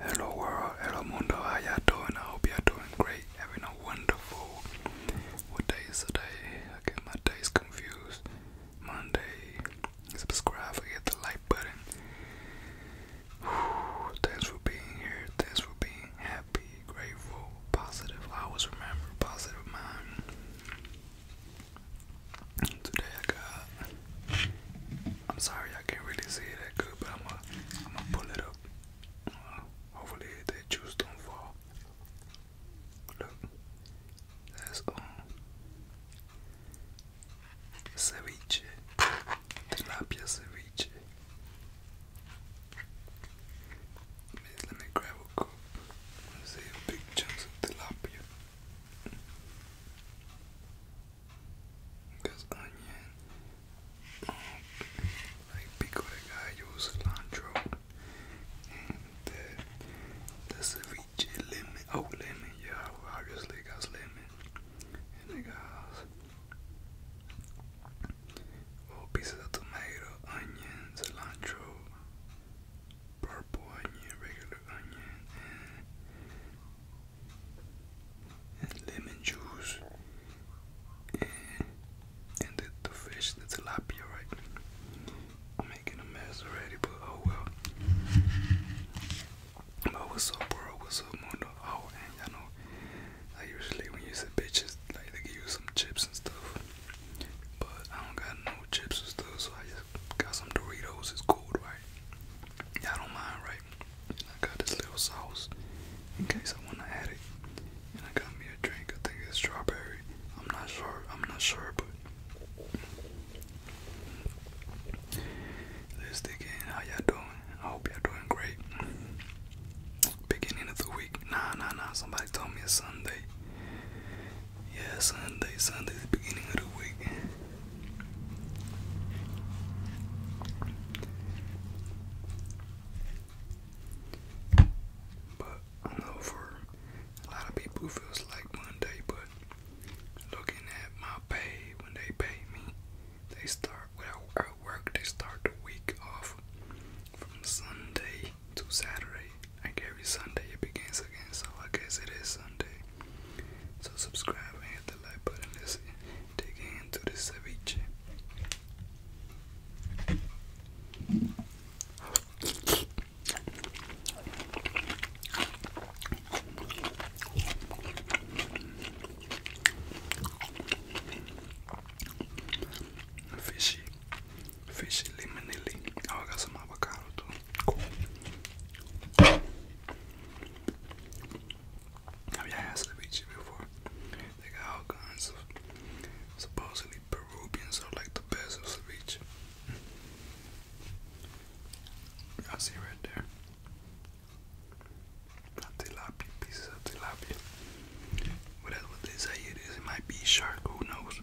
Hello world, hello mundo, how y'all doing? I hope y'all doing great, having a wonderful, day today? I my days confused. Monday, subscribe, forget the like button. thanks for being here, thanks for being happy, grateful, positive. always remember positive mind. Today I got I'm sorry I can't really see it that good, but I'm gonna, I'm gonna pull it up. hopefully that juice don't fall. Look, that's um ceviche, tilapia ceviche. Let me, grab a cup. see a big chunks of tilapia this onion. Um, like pico de gallo, cilantro, the, the ceviche lemon. Oh, lemon, yeah, obviously got lemon. And it got little oh, pieces of tomato, onion, cilantro, purple onion, regular onion, and lemon juice and, and the, the fish, the tilapia, right? I'm making a mess already, but oh well. But what's up, bro? What's up, Mundo? Oh, and y'all know, I usually when you say bitches, like they give you some chips and stuff, but I don't got no chips or stuff, so I just got some Doritos. It's cool, right? Y'all don't mind, right? I got this little sauce in case I want to add it. And I got me a drink. I think it's strawberry. I'm not sure. I'm not sure, but let's dig in. How y'all doing? I hope y'all doing great. Beginning of the week. Nah, nah, nah. Somebody told me it's Sunday. Yeah, Sunday. Sunday, the beginning of the week. But I know for a lot of people feels like Monday, but looking at my pay, when they pay me, they start well, work, they start the week off from Sunday to Saturday. Like every Sunday it begins again, so I guess it is Sunday. So subscribe and hit the like button. Let's dig into the ceviche. Fishy, fishy limonelli. Oh, got some avocado too. I mean, I have to before. They got all kinds supposedly Peruvians are like the best of ceviche. I see right there. Not pieces of tilapia. But that's what they say it is. It might be shark, who knows?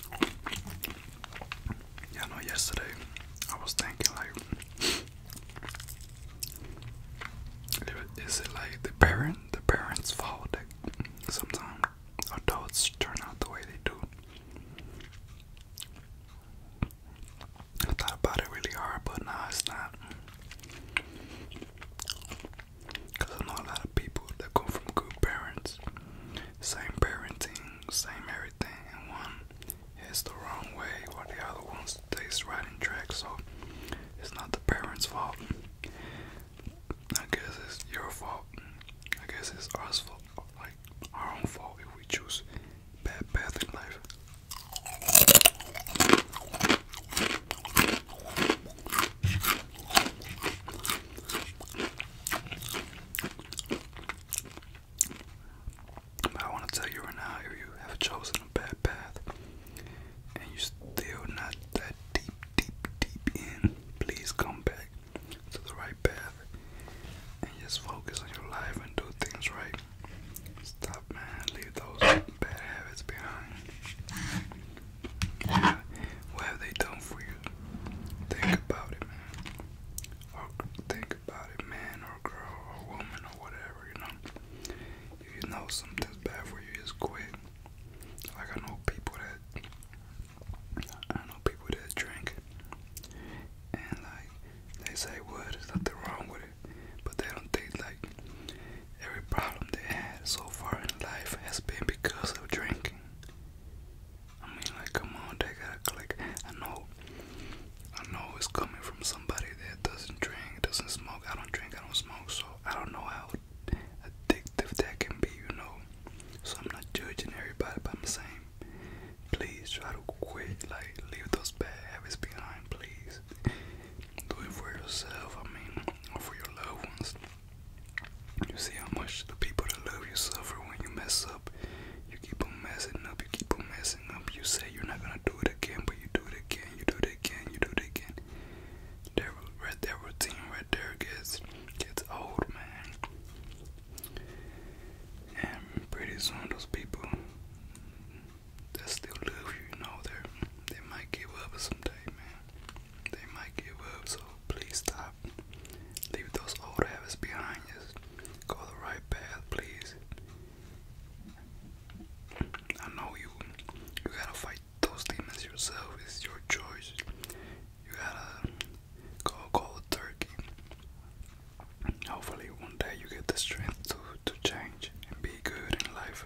Yeah, I know yesterday I was thinking like is it like the parent the parents' fault that sometimes adults turn out the way they do? I thought about it really hard, but nah, it's not. Because I know a lot of people that come from good parents, same parenting, same everything, and one is the wrong way while the other ones stays right and track. So it's not the parents' fault. I guess it's your fault. I guess it's our fault, like our own fault if we choose bad path in life. But I want to tell you right now if you have chosen a bad path and you're still not that deep, deep, deep in, please come back to the right path and just focus on your life and do things right. Stop, man. Leave those bad habits behind. What have they done for you? Think about it, man. Or think about it, man or girl or woman or whatever, you know. If you know something's bad for you, just quit. Like I know people that I know people that drink and like they say well there's nothing wrong with it but they don't think like every problem they had so far in life has been because of drinking I mean, like, come on, they gotta click. I know, I know it's coming from somebody that doesn't drink, doesn't smoke. I don't drink, I don't smoke, so I don't know how addictive that can be, you know. So I'm not judging everybody, but I'm saying, please try to quit. Like, leave those bad habits behind, please. Do it for yourself. I mean, or for your loved ones. You see how much the people that love you suffer when you mess up. You keep on messing up, you keep on messing up. You say you're not gonna do it again, but you do it again, you do it again, you do it again. That, right, that routine right there gets, gets old, man. And pretty soon, those people that still love you, you know, they might give up someday, man they might give up, so please stop. Leave those old habits behind you. Go the right path, please. I know you you gotta fight those demons yourself, it's your choice. You gotta go cold turkey. Hopefully one day you get the strength to to change and be good in life.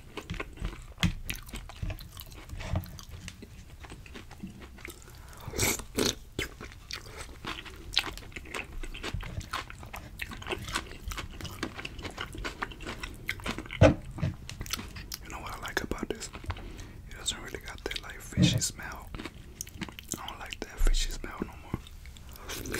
You know what I like about this? It doesn't really got that like fishy smell. I don't like that fishy smell no more.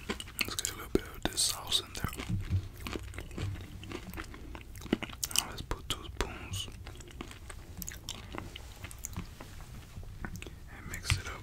Let's get a little bit of this sauce in there. let's put two spoons and mix it up.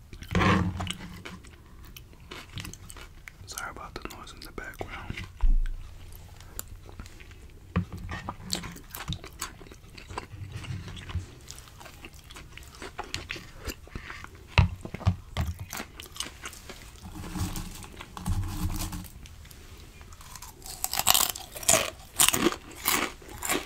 Sorry about the noise in the background.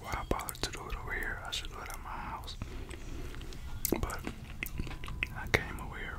why I bother to do it over here? I should do it at my house. But I came over here.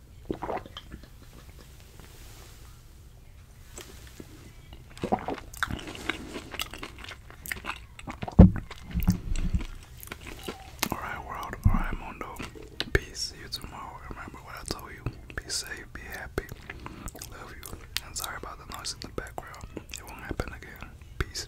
Alright, world. Alright, Mondo. Peace. See you tomorrow. Remember what I told you. Be safe. Be happy. Love you. And sorry about the noise in the background. It won't happen again. Peace.